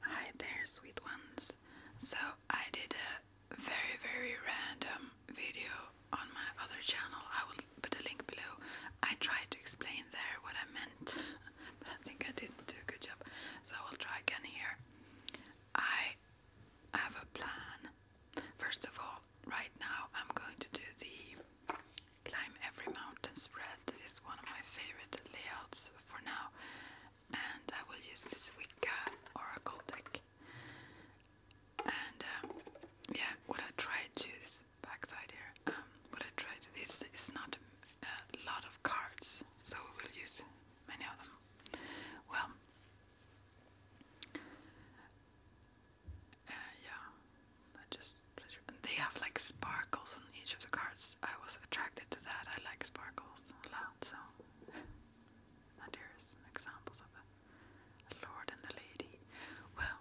Hi there, sweet ones. So, I did a very, very random video on my other channel. I will put a link below. I tried to explain there what I meant, but I think I didn't do a good job. So, I will try again here. I have a plan. First of all, right now I'm going to do the Climb Every Mountain spread is one of my favorite layouts for now, and I will use this Wicca Oracle deck. And um, yeah, what I tried to this backside here, um, what I tried to this is not uh, a lot of cards, so we will use many of them. Well, uh, yeah, I just they have like sparkles on each of the cards. I was attracted to that. I like sparkles a lot, so there's here's examples of a Lord and the Lady. Well,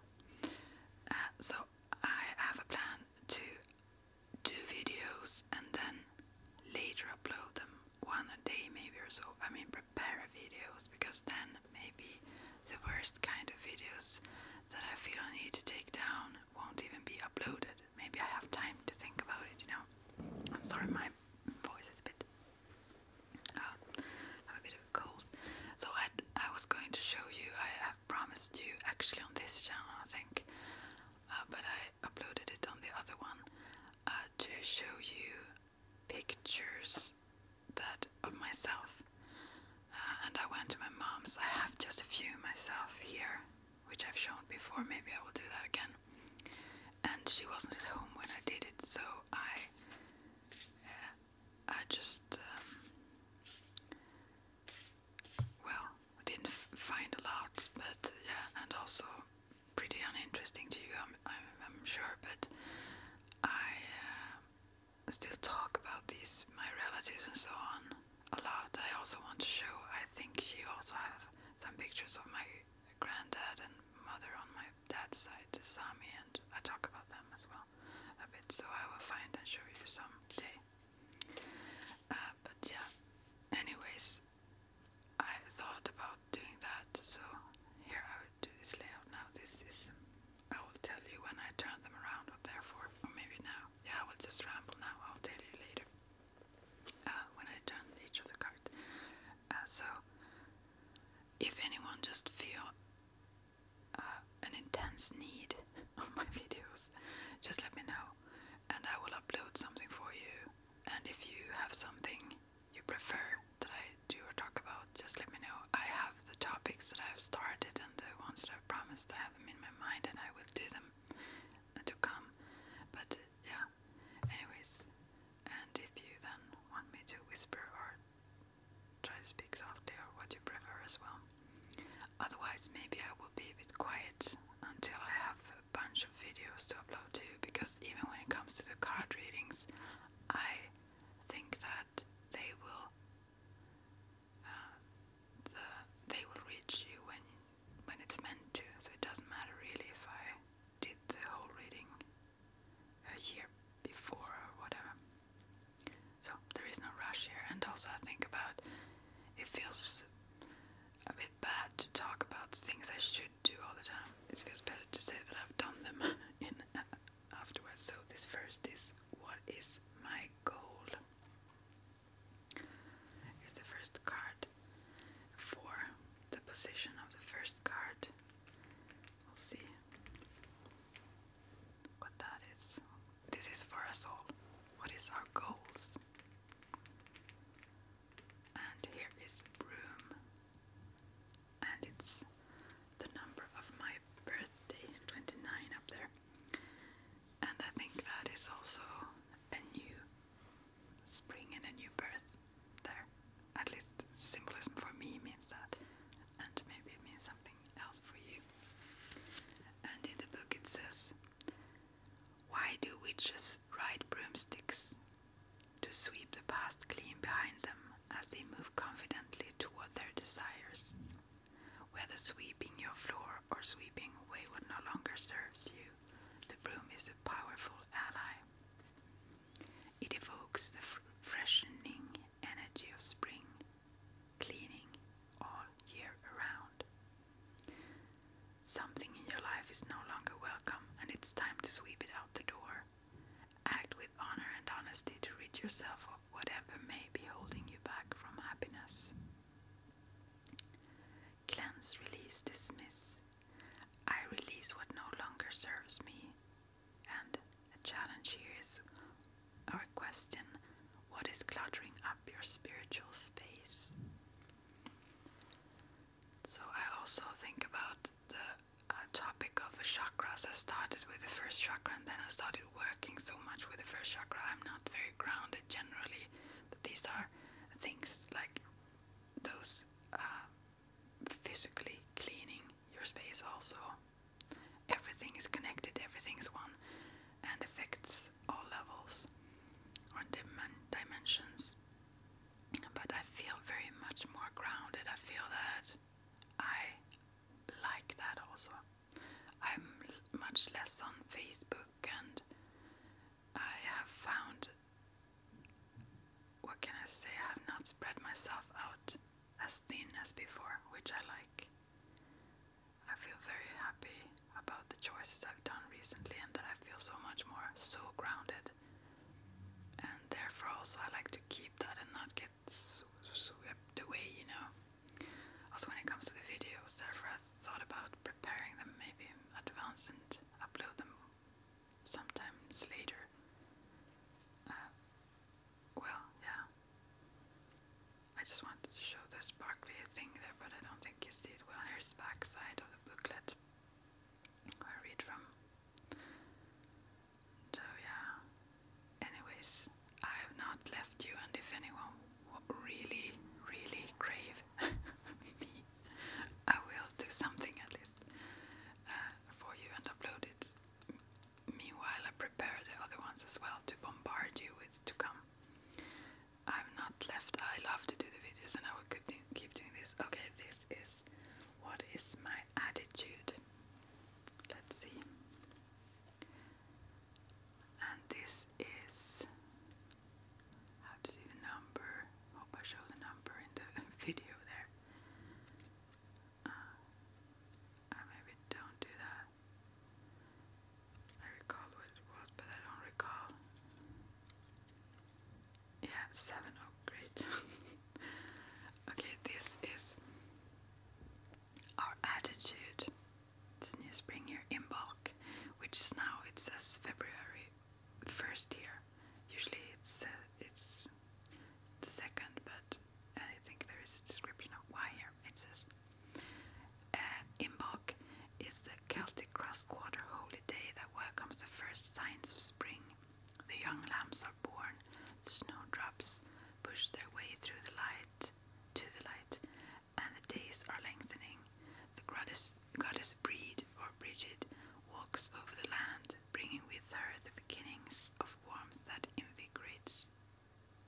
uh, so I have a plan to do videos and then later upload them one a day maybe or so. I mean prepare videos because then maybe the worst kind of videos that I feel I need to take down won't even be uploaded. Maybe I have time to think about it, you know. I'm sorry, my voice is a bit. Uh, I have a bit of a cold. So I, I was going to show you. I have promised you actually on this channel, I think, uh, but I uploaded it on the other one uh, to show you pictures that of myself uh, and I went to my mom's. I have just a few myself here, which I've shown before. Maybe I will do that again. And she wasn't at home when I did it, so I, uh, I just, um, well, didn't find a lot, but yeah, and also pretty uninteresting to you, I'm, sure, but I. Uh, still talk about these my relatives and so on a lot. I also want to show. I think she also have some pictures of my granddad and mother on my dad's side, the Sami, and I talk about them as well a bit. So I will find and show you some day. Uh, but yeah, anyways, I thought about doing that. So here I would do this layout now. This is I will tell you when I turn them around, or therefore, or maybe now. Yeah, I will just ramble now. I'll tell you later uh, when I turn each of the cards. Uh, so, if anyone just feel uh, an intense need of my videos, just let me know, and I will upload something for you. And if you have something you prefer that I do or talk about, just let me know. I have the topics that I've started and the ones that I've promised I them in my mind and I will do them to come. But yeah, anyways, and if you then want me to whisper or try to speak softly or what you prefer as well. Otherwise, maybe I will be a bit quiet until I have a bunch of videos to upload to you because even when it comes to the card readings, I think that they will they will reach you when when it's meant to. So it doesn't matter really if I did the whole reading a year before or whatever. So there is no rush here. And also I think about it feels a bit bad to talk about things I should do all the time. It feels better to say that I've done them in afterwards. So, this first is what is my goal? Is the first card for the position of the first card. We'll see what that is. This is for us all. What is our goals? And here is room, and it's the number of my birthday, 29 up there. And I think that is also a new spring and a new birth there. At least symbolism for me means that, and maybe it means something else for you. And in the book it says, Why do witches ride broomsticks? To sweep the past clean behind them as they move confidently toward their desires. Whether sweeping your floor or sweeping away what no longer serves you, the broom is a powerful ally. It evokes the freshening energy of spring, cleaning all year around. Something in your life is no longer welcome, and it's time to sweep it out the door. Act with honor and honesty to rid yourself whatever may be holding you back from happiness. Cleanse, release, dismiss. I release what no longer serves me. And a challenge here is our question what is cluttering up your spiritual space? So, I also think about the uh, topic of chakras. I started with the first chakra and then I started working so much with the first chakra. I'm not very grounded generally, but these are things like those uh, physically cleaning your space also. Everything is connected, everything is one, and affects all levels or dimensions. But I feel very much more grounded. I feel that I like that also. I'm much less on Facebook, and I have found what can I say? I have not spread myself out as thin as before, which I like. I feel very happy about the choices I've done recently, and that I feel so much more so grounded. And therefore, also, I like to keep that and not get gets swept away, you know. Also, when it comes to the videos, therefore, I thought about preparing them maybe in advance and upload them sometimes later. Uh, well, yeah. I just wanted to show the sparkly thing there, but I don't think you see it well. Here's the back side of the booklet I read from. So yeah. Anyways, I have not left you, and if anyone really, really crave me, I will do something at least uh, for you and upload it. Meanwhile, I prepare the other ones as well to bombard you with to come. I'm not left. I love to do the videos, and I will keep keep doing this. Okay, this is what is my attitude. Let's see and this is how to see the number. Hope I show the number in the video there. Uh, maybe don't do that. I recall what it was, but I don't recall. Yeah, seven. Oh, great. okay, this is our attitude it's a new spring here in bulk which is now it says february first here usually it's uh, it's the second but i think there is a description of why here it says uh, is the celtic cross quarter holy day that welcomes the first signs of spring the young lambs are born, the snowdrops push their way through the light to the light, and the days are lengthening. The goddess, goddess Breed or Brigid walks over the land, bringing with her the beginnings of warmth that invigorates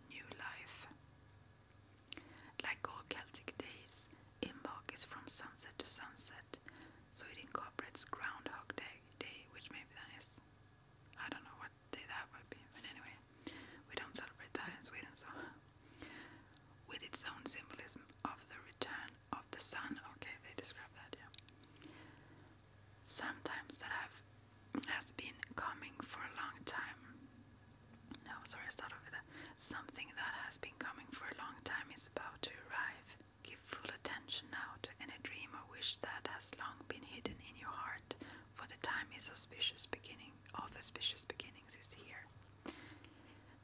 new life. Like all Celtic days, Imbolc is from sunset to sunset, so it incorporates Groundhog Day, which maybe that is. I don't know why what that would be. But anyway, we don't celebrate that in Sweden, so. With its own symbolism of the return of the sun. Okay, they describe that, yeah. Sometimes that have has been coming for a long time. No, sorry, I started with that. Something that has been coming for a long time is about to arrive. Give full attention now to any dream or wish that has long been hidden in your heart for the time is auspicious beginning of auspicious beginnings is here.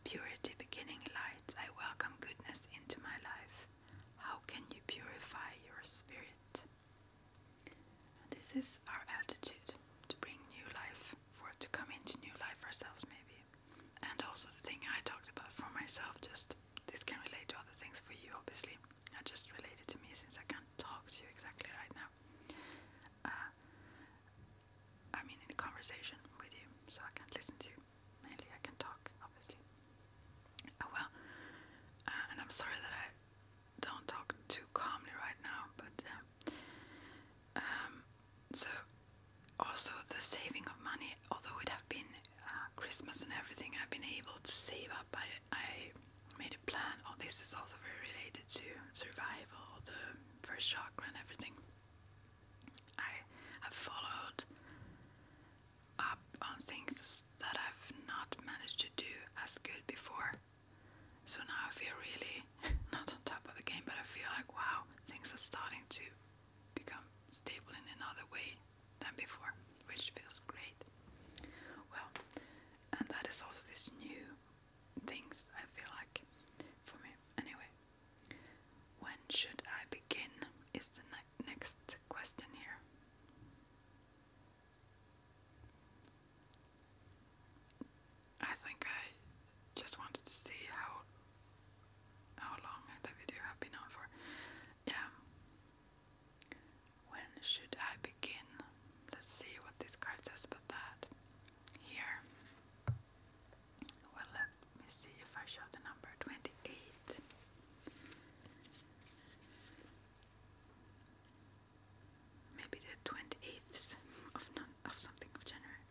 Purity beginning light, I welcome goodness into my life. How can you purify your spirit? This is our attitude to bring new life, for to come into new life ourselves maybe. And also the thing I talked about for myself, just this can relate to other things for you, obviously. I just related to me since I can't talk to you exactly right now. Uh, I mean, in a conversation with you, so I can't listen to you. Mainly, I can talk, obviously. Oh well, uh, and I'm sorry that I don't talk too calmly right now, but yeah. Uh, um, so also the saving of money. Although it have been Christmas and everything, I've been able to save up. I I made a plan. Oh, this is also very related to survival, the first chakra, and everything. I have followed up on things that I've not managed to do as good before. So now I feel really not on top of the game, but I feel like wow, things are starting to become stable in another way than before, which feels great. Well, and that is also this new things, I feel like, for me. Anyway, when should I begin? Is the next question here. I think I just wanted to see how how long the video have been on for. Yeah, when should I begin? Let's see what this card says about that. Here. Well, let me see if I show the number 28. Maybe the 28th of, of something of January.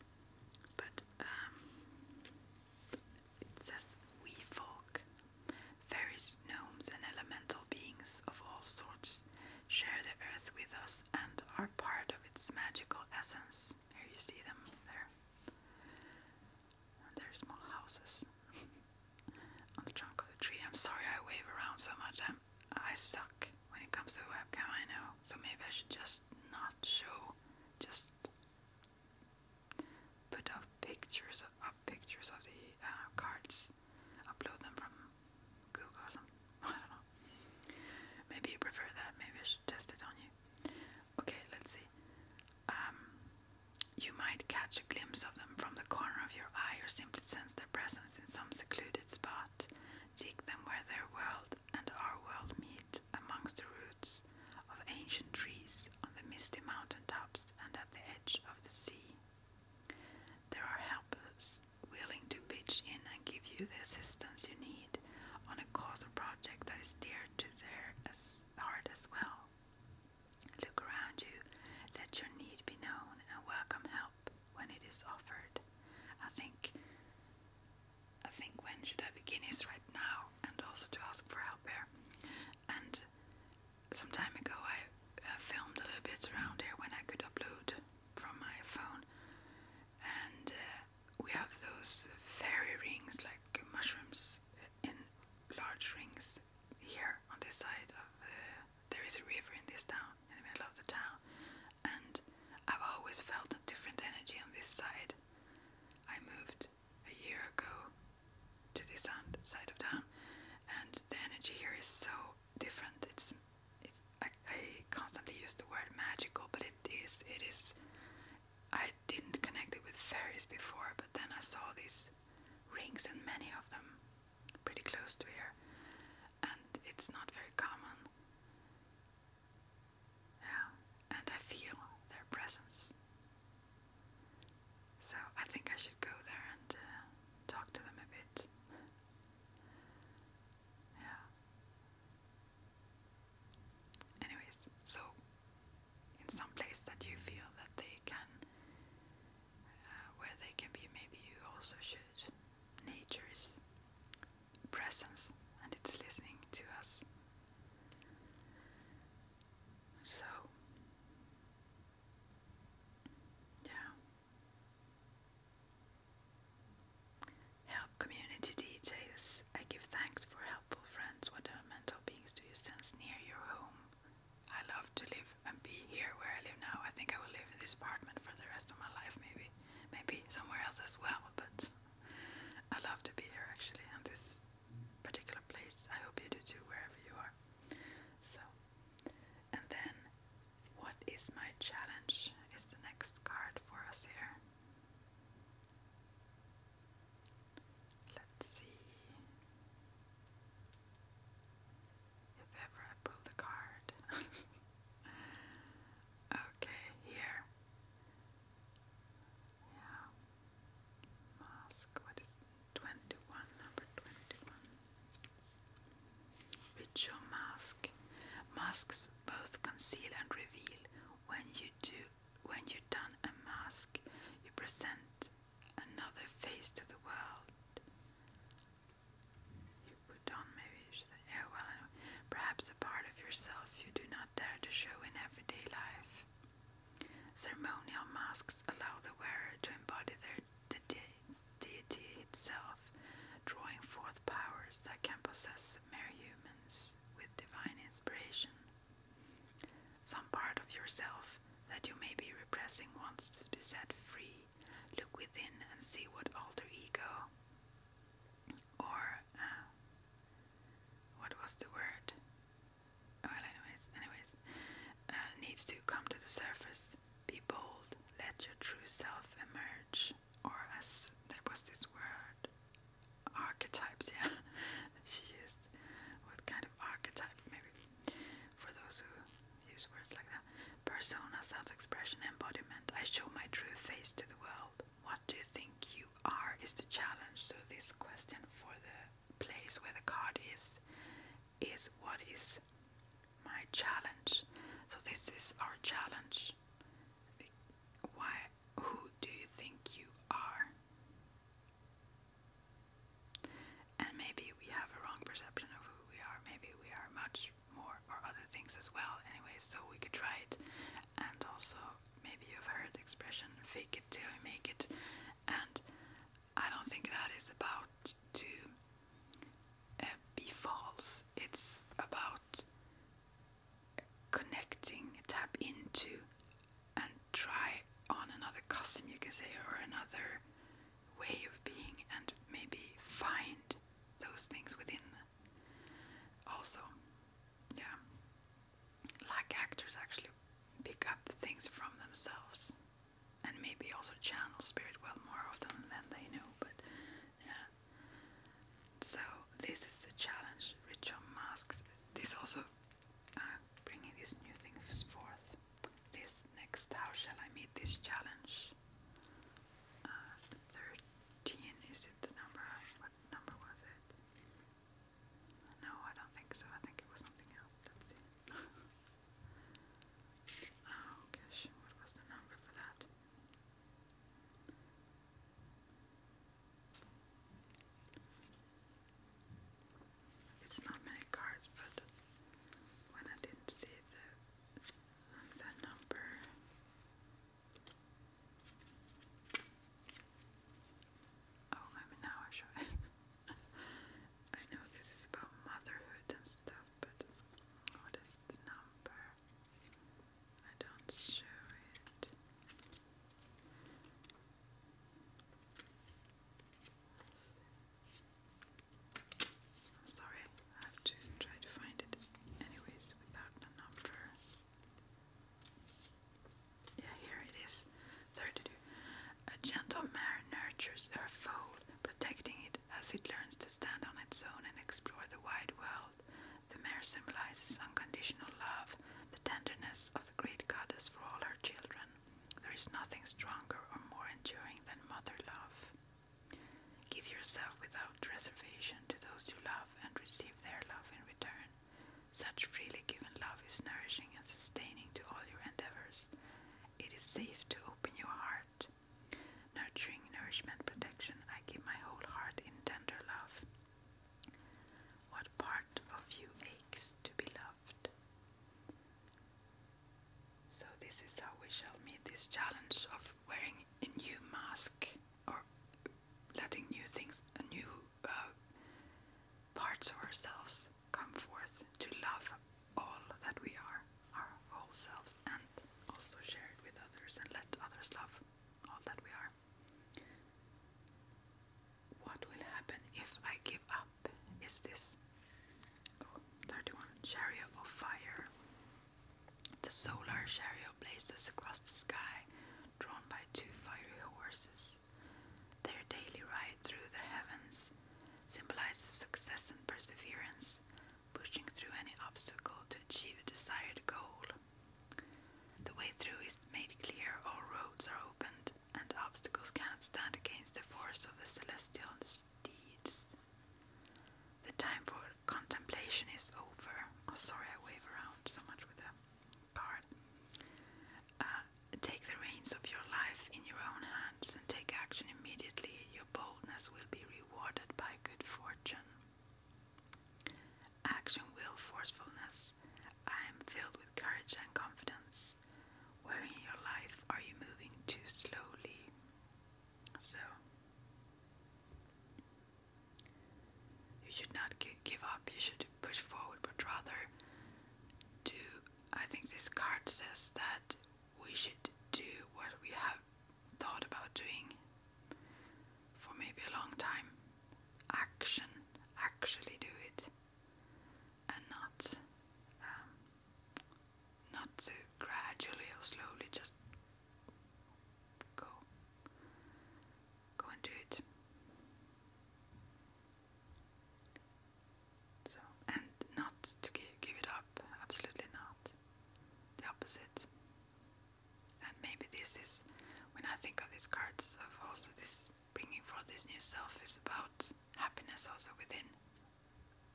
But um, it says we folk. Fairies, gnomes, and elemental beings of all sorts share the earth with us and are part of its magical essence. Here you see them there. And small houses on the trunk of a tree. I'm sorry I wave around so much. I'm, I suck when it comes to the webcam, I know. So maybe I should just not show, just put up pictures of, pictures of the uh, cards, upload them from Google I don't know. Maybe you prefer that. Maybe I should test it on you. Okay, let's see. Um, you might catch a glimpse of them from the corner of your eye, or simply sense their presence in some secluded spot. Seek them where their world and our world meet, amongst the roots of ancient trees on the misty mountain tops and at the edge of the sea. There are helpers willing to pitch in and give you the assistance you need on a cause or project that is dear to their heart as well. Look around you, let your need be known, and welcome help when it is offered. I think I think when should I begin is right now and also to ask for help here and some time ago I uh, filmed a little bit around here when I could upload from my phone, and uh, we have those fairy rings like mushrooms in large rings here on this side of the. There is a river in this town, in the middle of the town, and I've always felt a different energy on this side. I moved a year ago to this side of town, and the energy here is so different. It's, it's I, I constantly use the word magical, but it is. It is. I didn't connect it with fairies before, but then I saw these rings and many of them pretty close to here, and it's not very common. Yeah, and I feel their presence so I think I should go there and uh, talk to them a bit. yeah. Anyways, so in some place that you feel that they can, uh, where they can be, maybe you also should. Nature's presence and it's listening to us. So, yeah. Help community details. I give thanks for helpful friends, What whatever mental beings do you sense near your home. I love to live and be here where I live now. I think I will live in this apartment for the rest of my life, maybe. Maybe somewhere else as well, but I love to be here actually. And this particular place. I hope you do too, wherever you are. So, and then, what is my challenge? Is the next card for us here. Let's see if ever I pull the card. okay, here. Mask, what is 21, number 21. Ritual mask. Masks both conceal and reveal. When you do when you don a mask, you present another face to the world. You put on maybe well, perhaps a part of yourself you do not dare to show in everyday life. Ceremonial masks allow the wearer to embody their deity itself, drawing forth powers that can possess mere humans with divine inspiration. Some part of yourself that you may be repressing wants to be set free. Look within and see what alter ego or uh, what was the word? well anyways anyways uh, needs to come to the surface be bold let your true self emerge or as there was this word archetypes yeah she used what kind of archetype maybe for those who use words like that persona self-expression embodiment i show my true face to the world what do you think you are is the challenge so this question for the place where the card is is what is my challenge. So this is our challenge. Why who do you think you are? And maybe we have a wrong perception of who we are. Maybe we are much more or other things as well. Anyway, so we could try it. And also maybe you've heard expression fake it till you make it and I don't think that is about to uh, be false. It's about connecting, tap into, and try on another costume, you can say, or another way of being, and maybe find those things within also. Yeah like actors actually pick up things from themselves and maybe also channel spirit well more often than they know but yeah so this is a challenge ritual masks this also uh, bringing these new things forth this next how shall i meet this challenge uh, 13 is it the number what number was it no, I don't think so. I think it was something else. Let's see. oh gosh, what was the number for that? It's not many cards, but when I didn't see the the number, Oh, maybe now I show I know this is about motherhood and stuff, but what is the number? I don't show it. I'm sorry, I have to try to find it anyways without the number yeah, here it is, 32. A gentle mare nurtures her foal, protecting it as it learns to stand on its own and explore the wide world. The mare symbolizes unconditional love, the tenderness of the great goddess for all her children. There is nothing stronger or more enduring than mother love. Give yourself without reservation to those you love and receive their love in return. Such freely given love is nourishing and sustaining to all your endeavors. It is safe to open your heart. Nurturing, nourishment, protection, I give my whole heart in tender love. What part of you aches to be loved? So, this is how we shall meet this challenge of wearing a new mask or letting new things, a new uh, parts of ourselves come forth to love all that we are, our whole selves, and also share it with others and let others love all that we are. What will happen if I give up is this. 31. Chariot of Fire. The solar chariot blazes across the sky, drawn by two fiery horses. Their daily ride through the heavens symbolizes success and perseverance, pushing through any obstacle to achieve a desired goal. The way through is made clear, all roads are opened, and obstacles cannot stand against the force of the celestial steeds. The time for contemplation is over. Oh, sorry, I wave around so much with the uh, take the reins of your life in your own hands and take action immediately. Your boldness will be rewarded by good fortune. Action will forcefulness. I am filled with courage and confidence. Where in your life are you moving too slowly? So, you should not give up, you should push forward, but rather do. I think this card says that we should do what we have thought about doing for maybe a long time. Action, actually do it, and not um, not to gradually or slowly just go go and do it. So, and not to give, give it up, absolutely not. The opposite. And maybe this is, when I think of these cards, of also this bringing forth this new self is about happiness also within.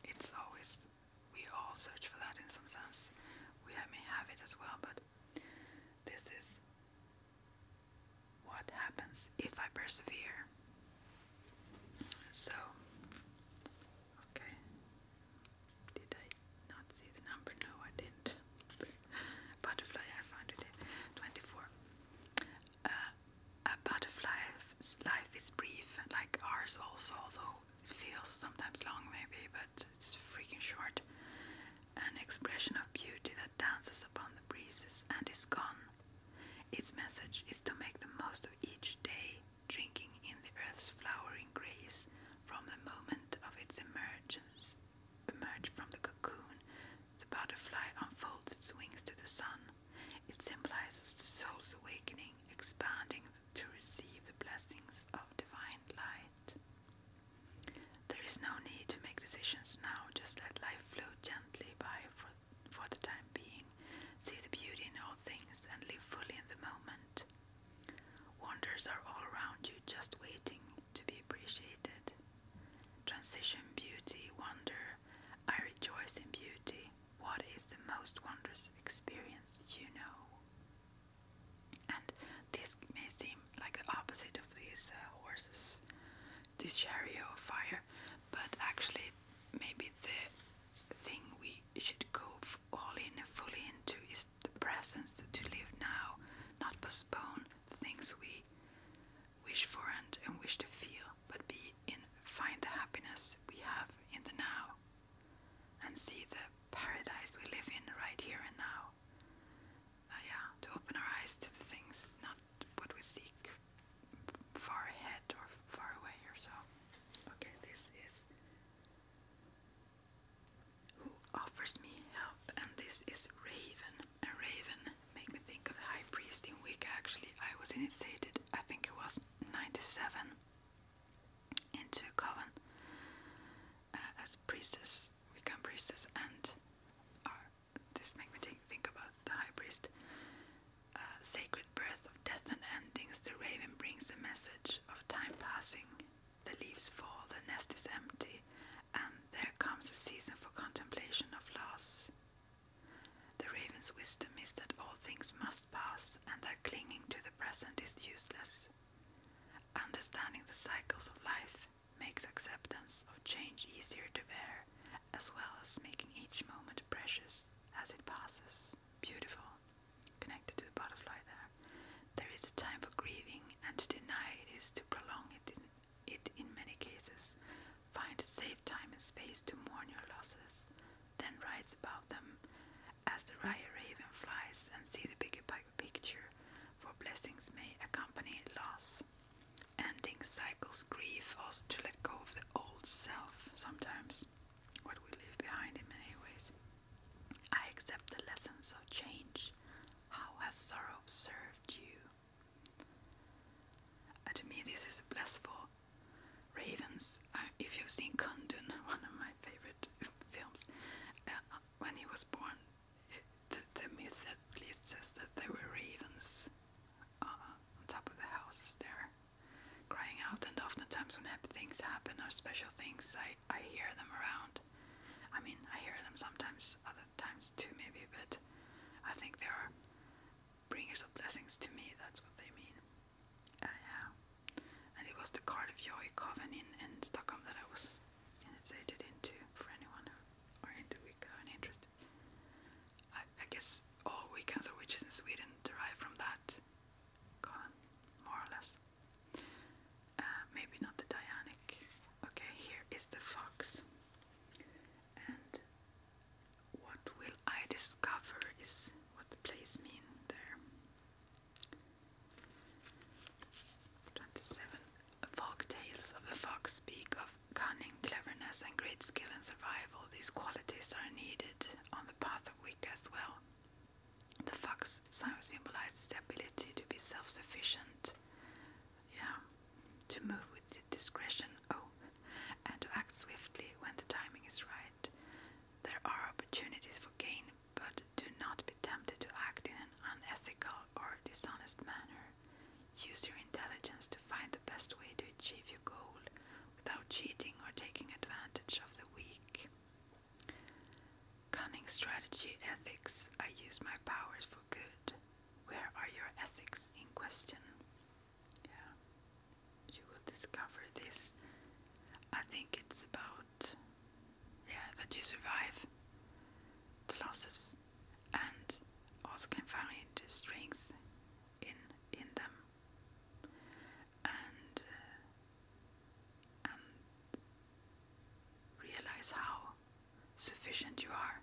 It's always, we all search for that in some sense. We may have it as well, but this is what happens if I persevere. So, okay, did I not see the number? No, I didn't. butterfly, I found it. 24. Uh, a butterfly's life is brief, like ours also, although it feels sometimes long, maybe, but it's freaking short an expression of beauty that dances upon the breezes and is gone. Its message is to make the most of each day, drinking in the earth's flowering grace from the moment of its emergence. Emerge from the cocoon, the butterfly unfolds its wings to the sun. It symbolizes the soul's awakening, expanding to receive the blessings of divine light. There is no need to make decisions now, just let life flow gently by for, for the time being. See the beauty in all things and live fully in the moment. Wonders are all around you, just waiting to be appreciated. Transition, beauty, wonder. I rejoice in beauty. What is the most wondrous experience you know? And this may seem like the opposite of these uh, horses, this chariot of fire. But actually, maybe the thing we should go all in fully into is the presence to live now, not postpone things we wish for and, and wish to feel, but be in find the happiness we have in the now and see the paradise we live in right here and now. Uh, yeah, to open our eyes to the things, not what we seek far ahead or far away or so. Okay, this is who offers me help, and this is Raven. And Raven make me think of the high priest in Wicca. Actually, I was initiated. I think it was ninety-seven into a coven, uh, as priestess, we become priestess and this makes me think, about the high priest. Uh, sacred birth of death and endings, the raven brings the message of time passing. The leaves fall, the nest is empty, and there comes a season for contemplation of loss. The raven's wisdom is that all things must pass and that clinging to the present is useless. Understanding the cycles of life makes acceptance of change easier to bear, as well as making each moment precious as it passes. Beautiful. Connected to the butterfly there. There is a time for grieving, and to deny it is to prolong it in, it in many cases. Find a safe time and space to mourn your losses, then rise above them as the rye raven flies and see the bigger picture for blessings may accompany loss. Ending cycles, grief, us to let go of the old self sometimes, what we leave behind in many ways. I accept the lessons of change. How has sorrow served you? Uh, to me, this is a for Ravens, uh, if you've seen Kundun, one of my favorite films, uh, when he was born, the, the myth at least says that there were ravens uh, on top of the houses there crying out, and oftentimes when things happen or special things, I, I hear them around. I mean, I hear them sometimes, other times too, maybe, but I think they are bringers of blessings to me, that's what they mean. Uh, yeah. And it was the card of Coven in, in Stockholm that I was and into for anyone who are into Wicca and I, guess all Wiccans or witches in Sweden derive from that more or less. Uh, maybe not the Dianic. Okay, here is the fox. And what will I discover is what place mean there. 27. Folk tales of the fox speak of cunning, cleverness, and great skill in survival. These qualities are needed on the path of wick as well. The fox symbolizes the ability to be self sufficient, yeah, to move with discretion, oh, and to act swiftly when the timing is right. There are opportunities for gain but do not be tempted to act in an unethical or dishonest manner. Use your intelligence to find the best way to achieve your goal without cheating or taking advantage of the weak. Cunning strategy ethics. I use my powers for good. Where are your ethics in question? Yeah, you will discover this. I think it's about yeah, that you survive the losses and also can find strength in in them and uh, and realize how sufficient you are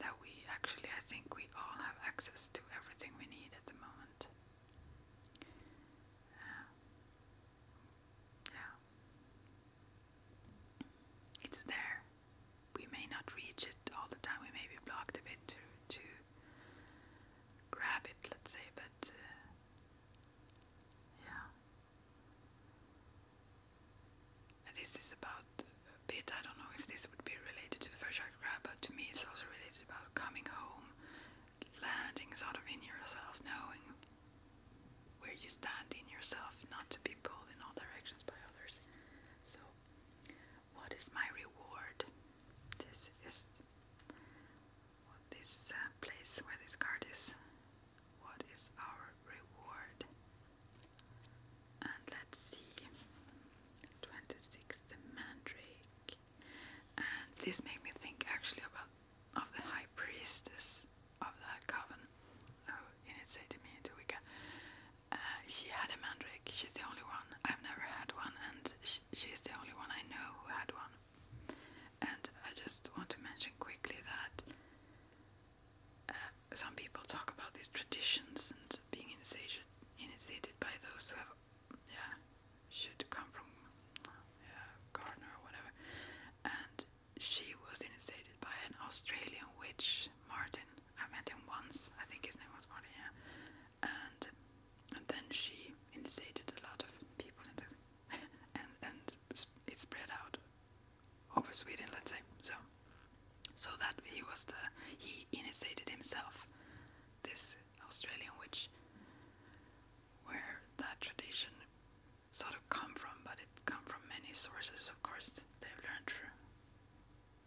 that we actually I think we all have access to everything we need at the moment. Uh, yeah. It's there. We may not reach it all the time. We may be blocked a bit to, to grab it, let's say, but uh, yeah. this is about a bit, I don't know if this would be related to the first grab. but to me it's also related about coming home, landing sort of in yourself, knowing where you stand in yourself, not to be pulled in all directions by others. So, what is my reward? This is this uh, place where this card is. What is our reward? And let's see. 26, the mandrake. And this made me think actually about of the high priestess of the coven who initiated me into Wicca. Uh, she had a mandrake. She's the only one. I've never had one, and she's the only one I know who had one. And I just want to mention quickly that uh, some people talk about these traditions and being initiated, initiated by those who have, yeah, should come from uh, Gardner or whatever. And she was initiated by an Australian witch, Martin. I met him once. I think his name was Martin. Yeah. And and then she initiated a lot of people and and it spread out over Sweden, let's say. So so that he was the he initiated himself, this Australian witch where that tradition sort of come from, but it come from many sources, of course. They've learned,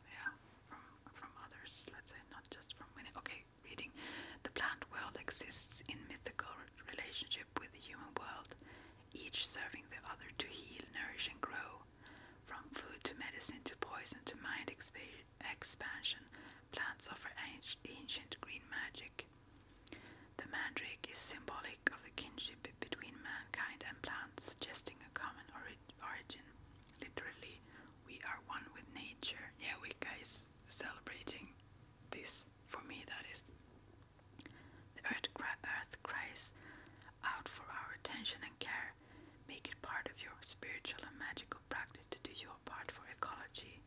yeah, from from others. Let's say not just from many. Okay, reading. The plant world exists in mythical relationship with the human world, each serving the other to heal, nourish, and grow. From food to medicine to poison to mind expansion, Plants offer ancient green magic. The mandrake is symbolic of the kinship between mankind and plants, suggesting a common origin. Literally, we are one with nature. Yeah, Wicca is celebrating this, for me that is. The earth cries out for our attention and care. Make it part of your spiritual and magical practice to do your part for ecology,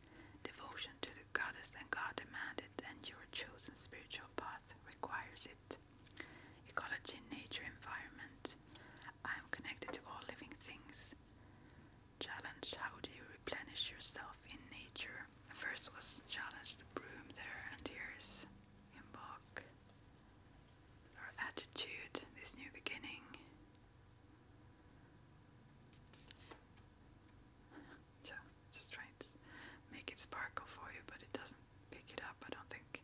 devotion to the your goddess and God demanded, and your chosen spiritual path requires it. Ecology, nature, environment. I am connected to all living things. Challenge how do you replenish yourself in nature? First was challenge the broom there, and here's inbox. Our attitude, this new beginning. So just trying make it sparkle for you, but it doesn't pick it up, I don't think.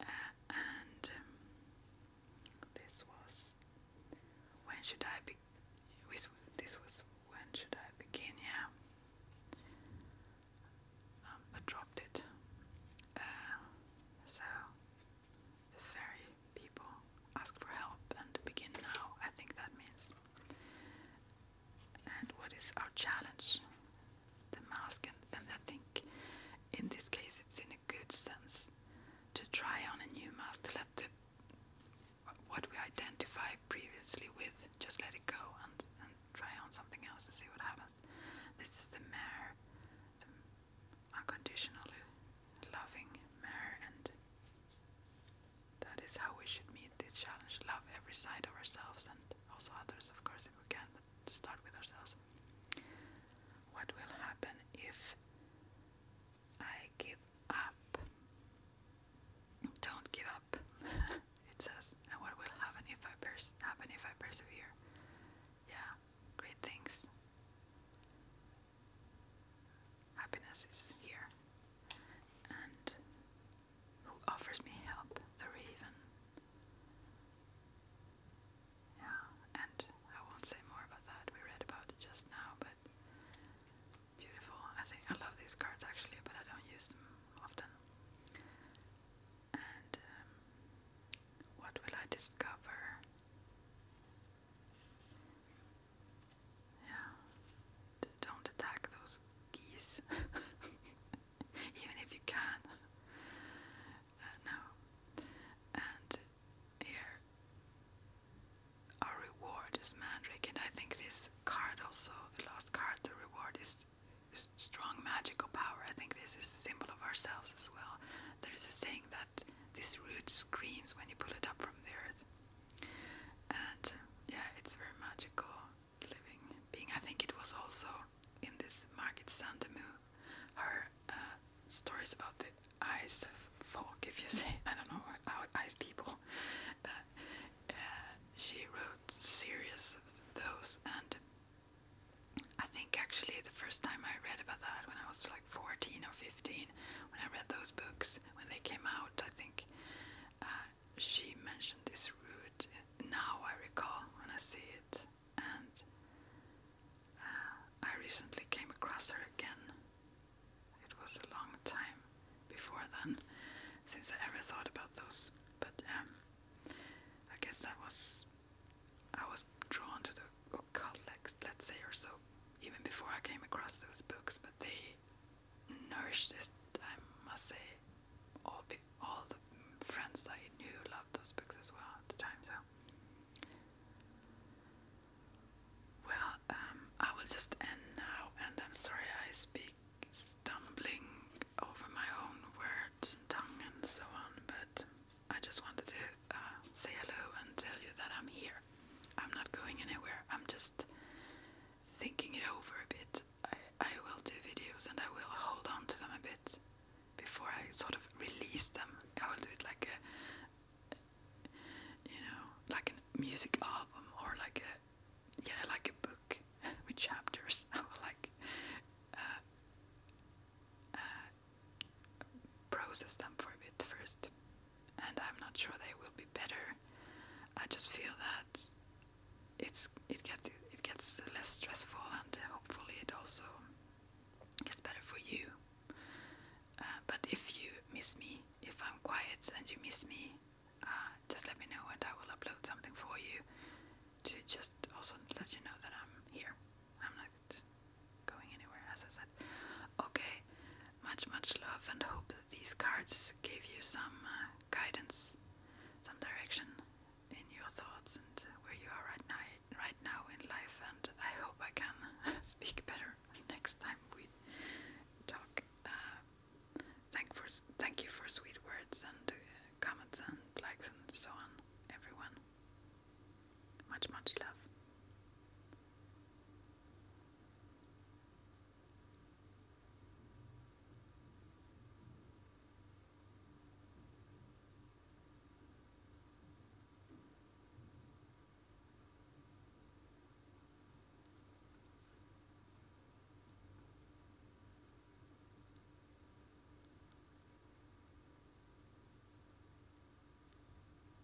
Uh, and um, this was when should I be? This was when should I begin? Yeah, um, I dropped it. Uh, so the very people ask for help and begin now, I think that means. And what is our challenge? The mask, and, and I think in this case it's in a good sense to try on a new mask, to let the what we identify previously with, just let it go and, and try on something else and see what happens. This is the mare, unconditionally loving and that is how we should meet this challenge. Love every side of ourselves and also others, of course, if we can, but start with ourselves. What will happen if I give up? Don't give up, it says. And what will happen if I pers happen if I persevere? Yeah, great things. Happiness is here. And who offers me help? The raven. Yeah, and I won't say more about that. We read about it just now, but beautiful. I think I love these cards actually, but I don't use them often. And um, what will I discover? Yeah. don't attack those geese. Even if you can. Uh, no. And here, our reward is Mandrake, and I think this card also, the last card, the reward is, is strong magical power. I think this is a symbol of ourselves as well. There is a saying that this root screams when you pull it up from the earth. And yeah, it's very magical living being. I think it was also in this Margit Sandemu, her uh, stories about the ice folk, if you say, I don't know, what ice people. Uh, uh, she wrote serious those, and I think actually the first time I read about that when I was like 14 or 15, Jane. When I read those books, when they came out, I think uh, she mentioned this route. Now I recall when I see it, and uh, I recently came across her again. It was a long time before then since I ever thought about those, but um, I guess that was I was drawn to the or colleagues, let's say, or so, even before I came across those books, but they nourished it, I must say. All, all the friends I knew loved those books as well at the time, so. Well, um, I will just end now, and I'm sorry I speak stumbling over my own words and tongue and so on, but I just wanted to uh, say hello and tell you that I'm here. I'm not going anywhere. I'm just thinking it over a bit. I, I will do videos and I will hold on to them a bit before I sort of release them. I will do it like a, you know, like a music album or like a, yeah, like a book with chapters. like uh, uh, process them for a bit first, and I'm not sure they will be better. I just feel that it's it gets it gets less stressful, and hopefully it also gets better for you. Uh, but if you miss me, if I'm quiet and you miss me, uh, just let me know, and I will upload something for you to just also let you know that I'm here. I'm not going anywhere, as I said. Okay, much, much love, and hope that these cards gave you some uh, guidance, some direction in your thoughts and where you are right now, right now in life. And I hope I can speak better next time we talk. Uh, thank for, thank you for sweet words and uh, comments and likes and so on, everyone. Much, much love.